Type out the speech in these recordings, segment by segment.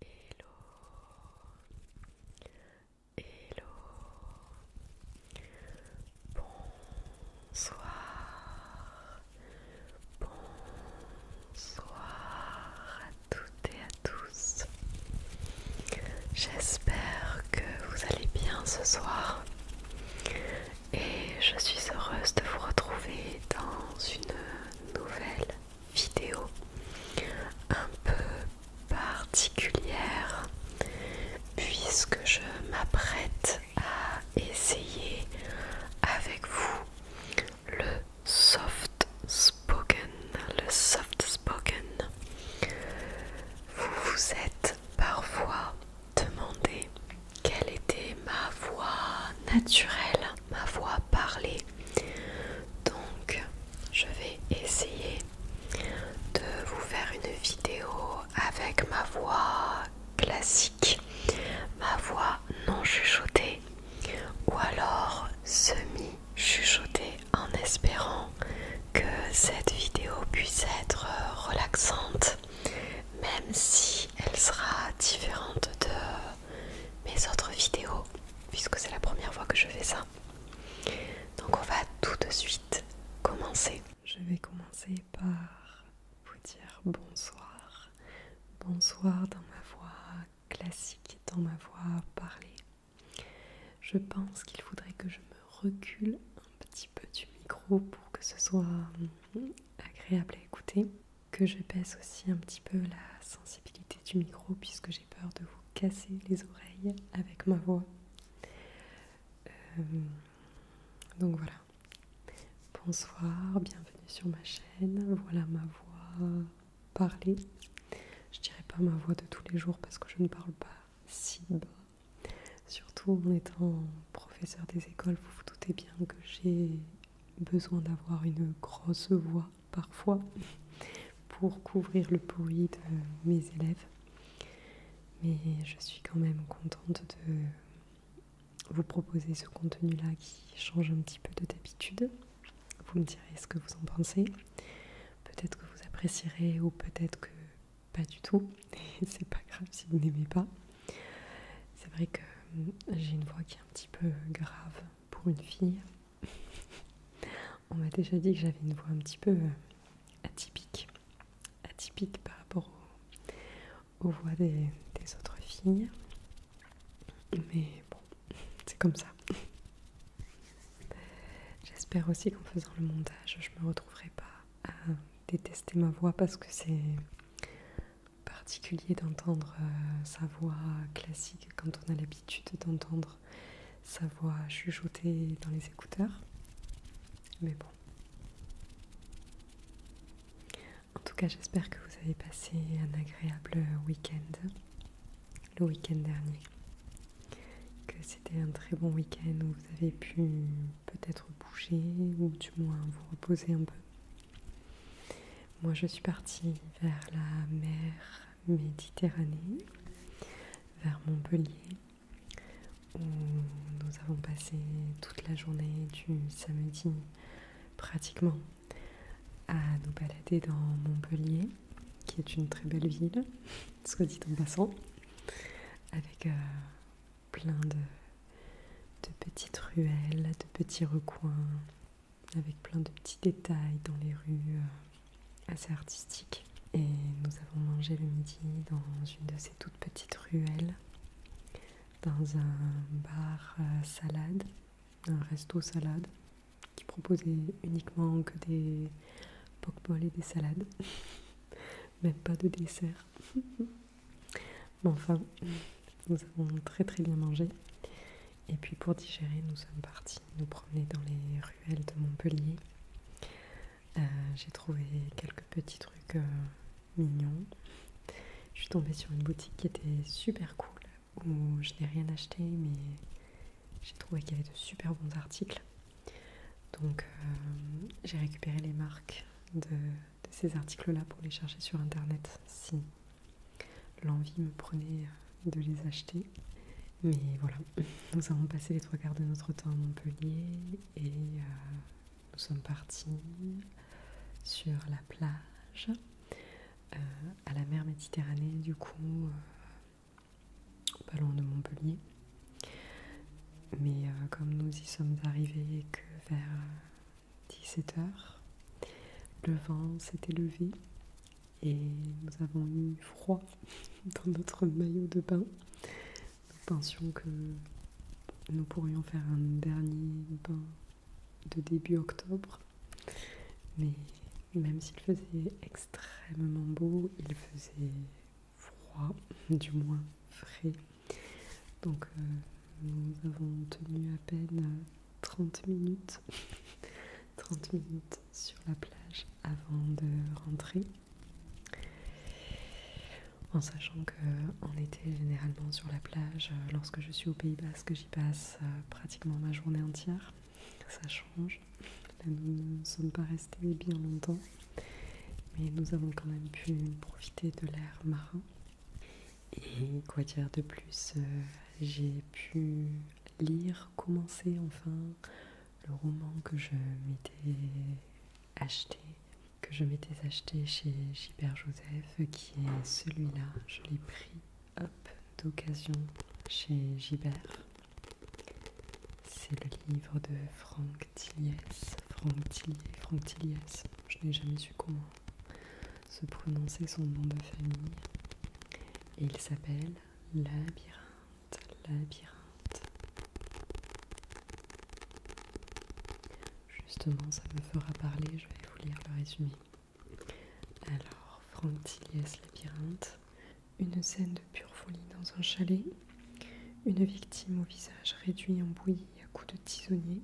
Hello, hello, bonsoir, bonsoir à tous toutes et à tous. J'espère que vous allez bien ce soir et je suis heureuse de vous retrouver dans une nouvelle vidéo un peu particulière puisque je m'apprête à essayer avec vous le soft le soft spoken. Vous vous êtes parfois demandé quelle était ma voix naturelle, ma voix parlée. Donc, je vais essayer de vous faire une vidéo avec ma voix classique, ma voix non chuchotée ou alors semi chuchoter en espérant que cette vidéo puisse être euh, relaxante, même si elle sera différente de mes autres vidéos, puisque c'est la première fois que je fais ça. Donc on va tout de suite commencer. Je vais commencer par vous dire bonsoir. Bonsoir dans ma voix classique, dans ma voix parlée. Je pense qu'il faudrait que je me recule un petit peu du micro pour que ce soit hum, agréable à écouter, que je baisse aussi un petit peu la sensibilité du micro puisque j'ai peur de vous casser les oreilles avec ma voix. Hum, donc voilà. Bonsoir, bienvenue sur ma chaîne. Voilà ma voix parler. Je dirais pas ma voix de tous les jours parce que je ne parle pas si bas. Surtout en étant professeur des écoles, vous vous doutez bien que j'ai besoin d'avoir une grosse voix parfois pour couvrir le bruit de mes élèves. Mais je suis quand même contente de vous proposer ce contenu-là qui change un petit peu de d'habitude. Vous me direz ce que vous en pensez. Peut-être que vous apprécierez ou peut-être que pas du tout. c'est pas grave si vous n'aimez pas. C'est vrai que hum, j'ai une voix qui est un petit peu grave pour une fille. On m'a déjà dit que j'avais une voix un petit peu euh, atypique. Atypique par rapport aux, voix des autres filles. Mais bon, c'est comme ça. J'espère aussi qu'en faisant le montage, je ne me retrouverai pas à détester ma voix parce que c'est particulier d'entendre euh, sa voix classique quand on a l'habitude d'entendre sa voix chuchotée dans les écouteurs. Mais bon. En tout cas, j'espère que vous avez passé un agréable week-end le week-end dernier, que c'était un très bon week-end où vous avez pu peut-être bouger ou du moins vous reposer un peu. Moi je suis partie vers la mer Méditerranée, vers Montpellier, où nous avons passé toute la journée du samedi pratiquement à nous balader dans Montpellier, qui est une très belle ville que dit en passant, avec euh, plein de, petites ruelles, de petits recoins, avec plein de petits détails dans les rues, euh, assez artistiques. Et nous avons mangé le midi dans une de ces toutes petites ruelles, dans un bar euh, salade, un resto salade qui proposait uniquement que des pokeballs et des salades, même pas de dessert. Mais enfin, nous avons très très bien mangé. Et puis pour digérer, nous sommes partis nous promener dans les ruelles de Montpellier. Euh, j'ai trouvé quelques petits trucs euh, mignons. Je suis tombée sur une boutique qui était super cool où je n'ai rien acheté mais j'ai trouvé qu'il y avait de super bons articles. Donc euh, j'ai récupéré les marques de, ces articles-là pour les chercher sur internet si l'envie me prenait euh, de les acheter. Mais voilà, nous avons passé les trois quarts de notre temps à Montpellier et euh, nous sommes partis sur la plage, à la mer Méditerranée du coup, pas loin de Montpellier. Mais euh, comme nous y sommes arrivés que vers 17h, euh, le vent s'était levé et nous avons eu froid dans notre maillot de bain. Nous pensions que nous pourrions faire un dernier bain de début octobre. Mais même s'il faisait extrêmement beau, il faisait froid, du moins frais. Donc euh, nous avons tenu à peine 30 minutes, 30 minutes sur la plage avant de rentrer. En sachant qu'en été, généralement sur la plage, euh, lorsque je suis aux Pays que j'y passe euh, pratiquement ma journée entière ça change. nous ne sommes pas restés bien longtemps, mais nous avons quand même pu profiter de l'air marin. Et quoi dire de plus euh, J'ai pu lire, commencer enfin le roman que je m'étais acheté, que je m'étais acheté chez Gilbert Joseph, qui est celui-là. Je l'ai pris Hop, d'occasion chez Gibert. C'est le livre de Franck Tiliès. Franck Tilliès, Franck Je n'ai jamais su comment se prononcer son nom de famille. Et il s'appelle Labyrinthe, Labyrinthe. Justement, ça me fera parler, je vais vous lire le résumé. Alors, Franck Tilias, Labyrinthe, une scène de pure folie dans un chalet, une victime au visage réduit en bouillie à coups de tisonnier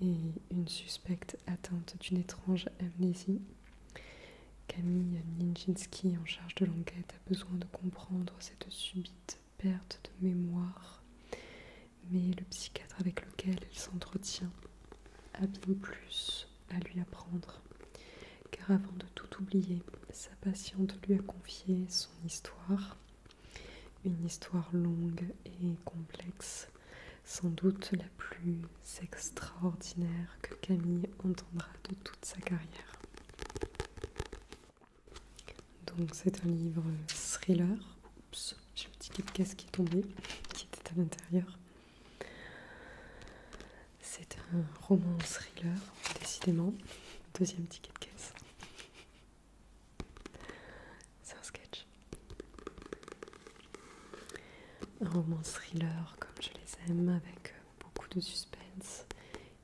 et une suspecte atteinte d'une étrange amnésie. Camille Ninjinski, en charge de l'enquête, a besoin de comprendre cette subite perte de mémoire, mais le psychiatre avec lequel elle s'entretient a bien plus à lui apprendre, car avant de tout oublier, sa patiente lui a confié son histoire, une histoire longue et complexe, sans doute la plus extraordinaire que Camille entendra de toute sa carrière. Donc c'est un livre thriller. Oups, j'ai un petit kit qui est tombé, qui était à l'intérieur. C'est un roman thriller, décidément. Deuxième ticket de caisse. C'est un sketch. Un roman thriller comme je les aime, avec beaucoup de suspense.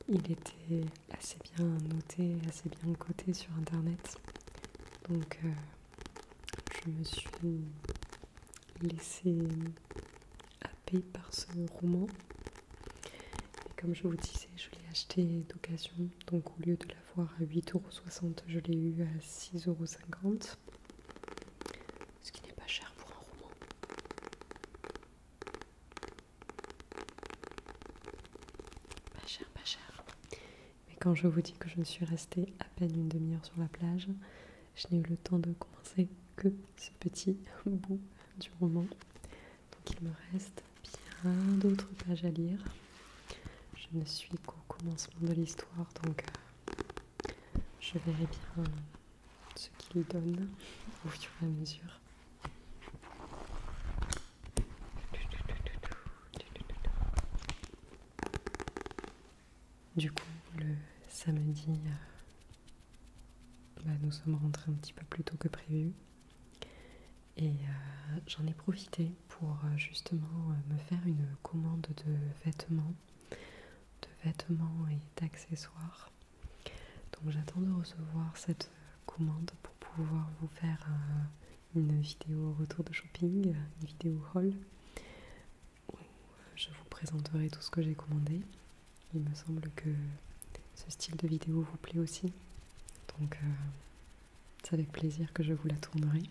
Il était assez bien noté, assez bien coté sur internet. Donc euh, je me suis laissé happé par ce roman. Et comme je vous disais, je l'ai acheté d'occasion, donc au lieu de l'avoir à 8,60€, je l'ai eu à 6,50€. Ce qui n'est pas cher pour un roman. Pas cher, pas cher. Mais quand je vous dis que je suis restée à peine une demi-heure sur la plage, je n'ai eu le temps de commencer que ce petit bout du roman. Donc il me reste bien d'autres pages à lire. Je ne suis qu'au commencement de l'histoire, donc euh, je verrai bien ce qu'il donne au fur et à mesure. Du coup, le samedi, euh, bah, nous sommes rentrés un petit peu plus tôt que prévu. Et euh, j'en ai profité pour euh, justement me faire une commande de vêtements, de vêtements et d'accessoires. Donc j'attends de recevoir cette commande pour pouvoir vous faire une vidéo retour de shopping, une vidéo haul où je vous présenterai tout ce que j'ai commandé. Il me semble que ce style de vidéo vous plaît aussi. Donc euh, c'est avec plaisir que je vous la tournerai.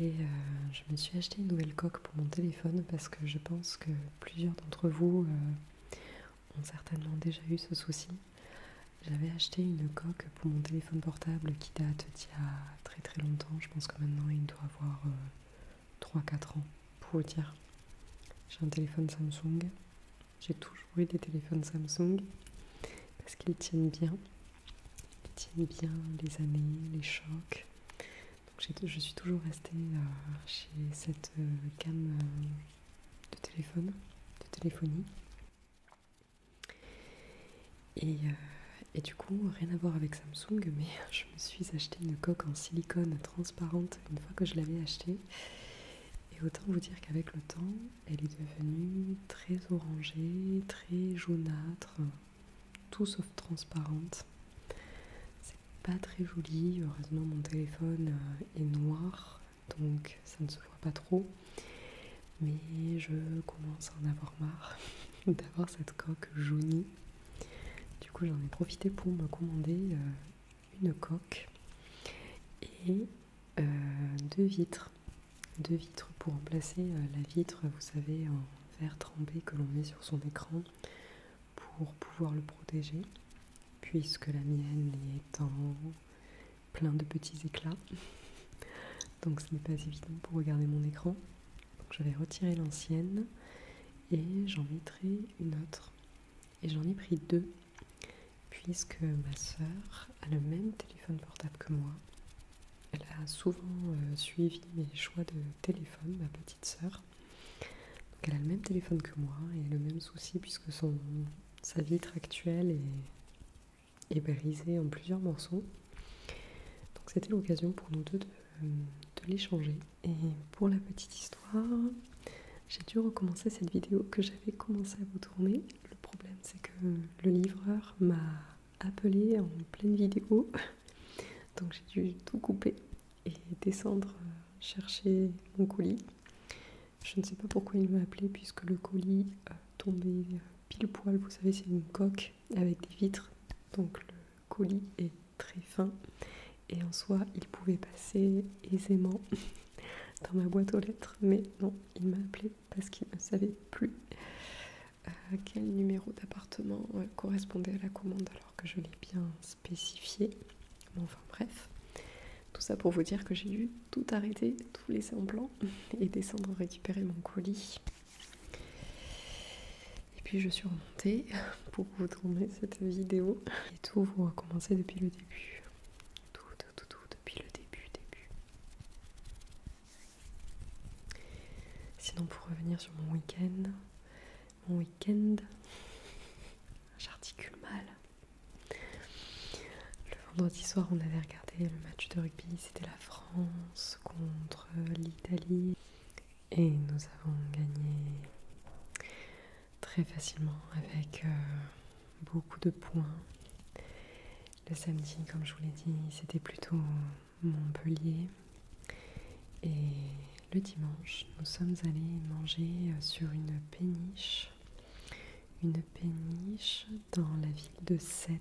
Et euh, je me suis acheté une nouvelle coque pour mon téléphone parce que je pense que plusieurs d'entre vous euh, ont certainement déjà eu ce souci. J'avais acheté une coque pour mon téléphone portable qui date d'il y a très très longtemps. Je pense que maintenant il doit avoir... 3-4 ans, pour vous dire. J'ai un téléphone Samsung. J'ai toujours eu des téléphones Samsung parce qu'ils tiennent bien. Ils tiennent bien les années, les chocs. Donc je suis toujours restée euh, chez cette euh, gamme euh, de téléphone, de téléphonie. Euh, et, du coup, rien à voir avec Samsung, mais je me suis acheté une coque en silicone transparente une fois que je l'avais achetée. Et autant vous dire qu'avec le temps, elle est devenue très orangée, très jaunâtre, tout sauf transparente. C'est pas très joli, heureusement mon téléphone euh, est noir, donc ça ne se voit pas trop. Mais je commence à en avoir marre d'avoir cette coque jaunie. Du coup, j'en ai profité pour me commander euh, une coque et euh, deux vitres. Deux vitres pour remplacer euh, la vitre, vous savez, en verre trempé que l'on met sur son écran pour pouvoir le protéger, puisque la mienne est en plein de petits éclats. Donc ce n'est pas évident pour regarder mon écran je vais retirer l'ancienne et j'en mettrai une autre. Et j'en ai pris deux, puisque ma sœur a le même téléphone portable que moi. Elle a souvent euh, suivi mes choix de téléphone, ma petite sœur. Donc elle a le même téléphone que moi et le même souci puisque sa vitre actuelle est, est brisée en plusieurs morceaux. Donc c'était l'occasion pour nous deux euh, de, l'échanger. Et pour la petite histoire, j'ai dû recommencer cette vidéo que j'avais commencé à vous tourner. Le problème c'est que le livreur m'a appelé en pleine vidéo, donc j'ai dû tout couper et descendre euh, chercher mon colis. Je ne sais pas pourquoi il m'a appelé puisque le colis euh, tombait pile poil, vous savez c'est une coque avec des vitres, donc colis est très fin et en soi il pouvait passer aisément dans ma boîte aux lettres, mais non, il m'a appelé parce qu'il ne savait plus euh, quel numéro d'appartement euh, correspondait à la commande alors que je l'ai bien spécifié. enfin bref, tout ça pour vous dire que j'ai dû tout arrêter, tout laisser en plan, et descendre récupérer mon colis. Et puis je suis remontée pour vous tourner cette vidéo. Et tout, vous recommencer depuis le début. Tout, tout, tout, tout depuis le début, début. Sinon, pour revenir sur mon week-end, mon week-end, j'articule mal. Le vendredi soir, on avait regardé le match de rugby, c'était la France contre l'Italie. Et nous avons gagné très facilement avec euh, beaucoup de points. Le samedi, comme je vous l'ai dit, c'était plutôt Montpellier. Et le dimanche, nous sommes allés manger euh, sur une péniche. Une péniche dans la ville de Sète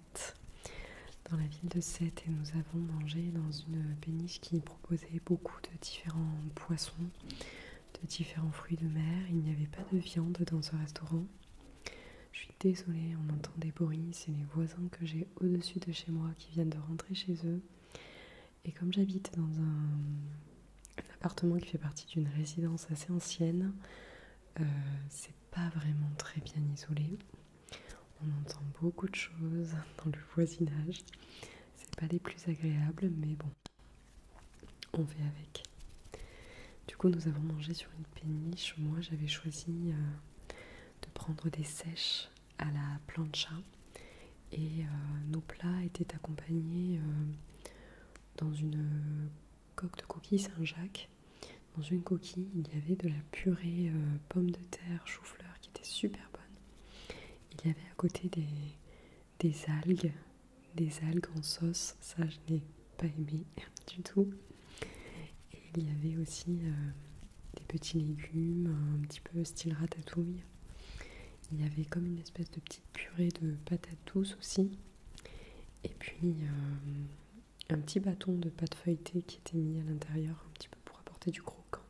dans la ville de Sète, et nous avons mangé dans une péniche qui proposait beaucoup de différents poissons, de différents fruits de mer. Il n'y avait pas de viande dans ce restaurant. Je suis désolée, on entend des bruits, c'est les voisins que j'ai au-dessus de chez moi qui viennent de rentrer chez eux. Et comme j'habite dans un, appartement qui fait partie d'une résidence assez ancienne, euh, c'est pas vraiment très bien isolé. On entend beaucoup de choses dans le voisinage. ce n'est pas les plus agréables, mais bon, on fait avec. Du coup, nous avons mangé sur une péniche. Moi, j'avais choisi euh, de prendre des sèches à la plancha. Et euh, nos plats étaient accompagnés euh, dans une coque de coquille Saint-Jacques dans une coquille, il y avait de la purée euh, pomme de terre, chou-fleur qui était super bonne. Il y avait à côté des, algues, des algues en sauce, ça je n'ai pas aimé du tout. Et il y avait aussi euh, des petits légumes, un petit peu style ratatouille. Il y avait comme une espèce de petite purée de patates douces aussi. Et puis, euh, un petit bâton de pâte feuilletée qui était mis à l'intérieur un petit peu pour apporter du croquant.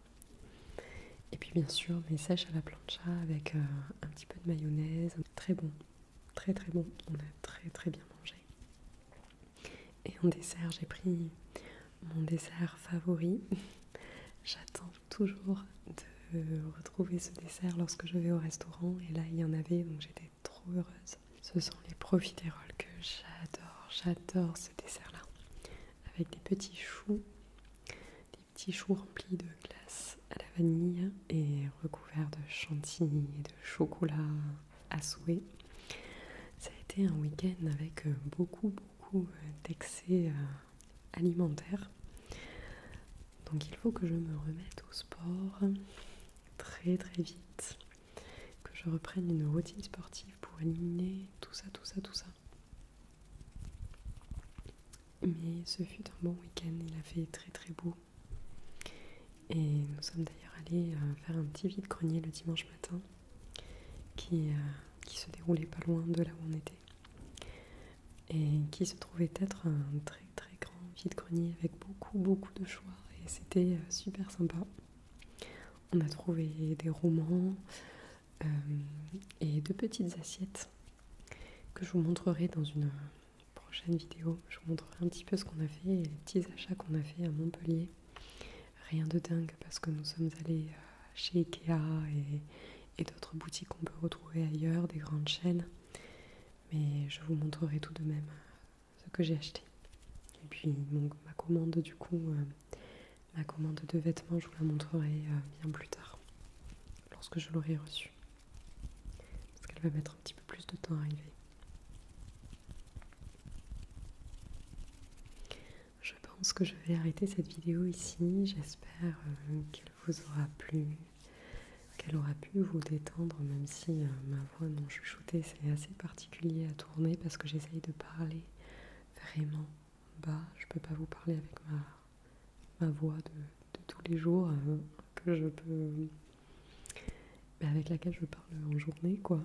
Et puis bien sûr mes sèches à la plancha avec euh, un petit peu de mayonnaise. Très bon, très très bon. On a très très bien mangé. Et en dessert j'ai pris mon dessert favori. J'attends toujours de retrouver ce dessert lorsque je vais au restaurant et là il y en avait donc j'étais trop heureuse. Ce sont les profiteroles que j'adore, j'adore ce dessert-là. Avec des petits choux, des petits choux remplis de glace à la vanille et recouverts de chantilly et de chocolat à souhait. Ça a été un week-end avec beaucoup, beaucoup d'excès euh, alimentaires. Donc il faut que je me remette au sport très très vite que je reprenne une routine sportive pour éliminer tout ça, tout ça, tout ça. Mais ce fut un bon week-end, il a fait très très beau. Et nous sommes d'ailleurs allés euh, faire un petit vide-grenier le dimanche matin euh, qui, se déroulait pas loin de là où on était. Et qui se trouvait être un très très grand vide-grenier avec beaucoup beaucoup de choix. Et c'était euh, super sympa. On a trouvé des romans euh, et deux petites assiettes que je vous montrerai dans une prochaine vidéo. Je vous montrerai un petit peu ce qu'on a fait et les petits achats qu'on a fait à Montpellier. Rien de dingue parce que nous sommes allés euh, chez Ikea et d'autres boutiques qu'on peut retrouver ailleurs, des grandes chaînes. Mais je vous montrerai tout de même euh, ce que j'ai acheté. Et puis ma commande du coup, euh, ma commande de vêtements, je vous la montrerai euh, bien plus tard, lorsque je l'aurai reçue. Parce qu'elle va mettre un petit peu plus de temps à arriver. Je pense que je vais arrêter cette vidéo ici. J'espère euh, qu'elle vous aura plu, qu'elle aura pu vous détendre, même si je non shootée, c'est assez particulier à tourner parce que j'essaye de parler vraiment bas. Je peux pas vous parler avec ma, voix de, tous les jours euh, que je peux. avec laquelle je parle en journée, quoi.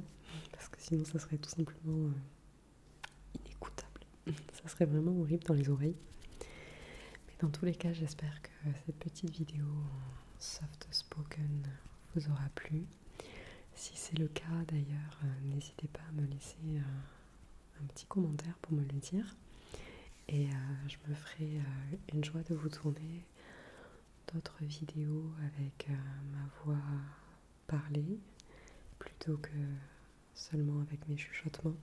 Parce que sinon, ça serait tout simplement euh, inécoutable. ça serait vraiment horrible dans les oreilles. Mais dans tous les cas, j'espère que cette petite vidéo soft spoken vous aura plu. Si c'est le cas d'ailleurs, euh, n'hésitez pas à me laisser euh, un petit commentaire pour me le dire. Et euh, je me ferai une joie de vous tourner d'autres vidéos avec ma voix parlée plutôt que seulement avec mes chuchotements.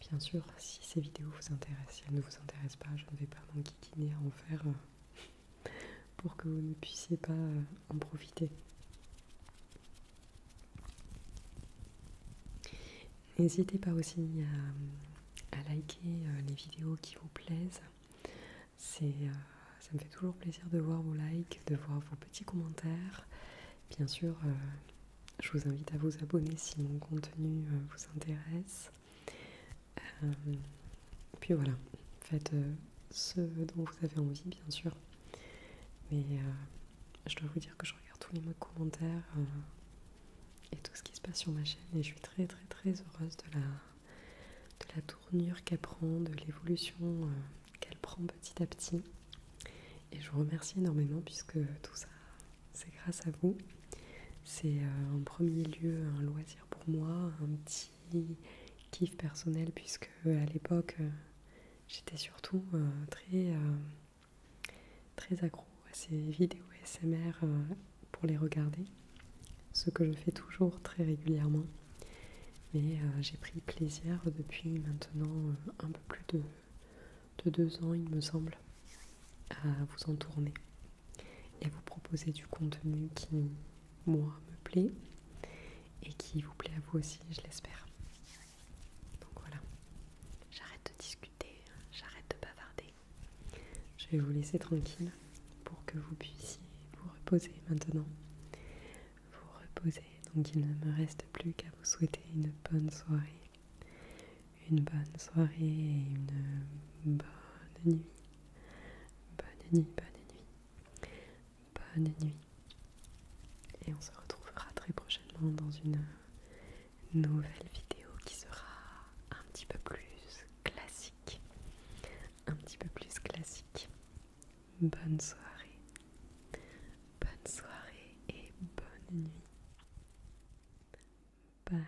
Bien sûr, si ces vidéos vous intéressent, si elles ne vous intéressent pas, je ne vais pas m'enquiquiner à en faire pour que vous ne puissiez pas euh, en profiter. N'hésitez pas aussi euh, à, liker euh, les vidéos qui vous plaisent. C'est, ça me fait toujours plaisir de voir vos likes, de voir vos petits commentaires. Bien sûr, je vous invite à vous abonner si mon contenu vous intéresse. Euh, puis voilà, faites euh, ce dont vous avez envie, bien sûr. Mais euh, je dois vous dire que je regarde tous les mots commentaires et tout ce qui se passe sur ma chaîne et je suis très très très heureuse de la, la tournure qu'elle prend, de l'évolution qu'elle prend petit à petit. Et je vous remercie énormément puisque tout ça, c'est grâce à vous. C'est en premier lieu un loisir pour moi, un petit qui kiff personnel puisque euh, à l'époque euh, j'étais surtout euh, très très accro à ces vidéos SMR pour les regarder, ce que je fais toujours très régulièrement. Mais j'ai pris plaisir depuis maintenant un peu plus de, de deux ans, il me semble, à vous en tourner et vous proposer du contenu qui, moi, me plaît et qui vous plaît à vous aussi, je l'espère. Donc voilà, j'arrête de discuter, j'arrête de bavarder. Je vais vous laisser tranquille pour que vous puissiez vous reposer maintenant. Vous reposer, donc il ne me reste plus qu'à vous souhaiter une bonne soirée. Une bonne soirée et une bonne nuit. Bonne nuit, bonne nuit. Bonne nuit. Et on se retrouvera très prochainement dans une nouvelle vidéo qui sera un petit peu plus classique. Un petit peu plus classique. Bonne soirée. Bonne soirée et bonne nuit. Bye.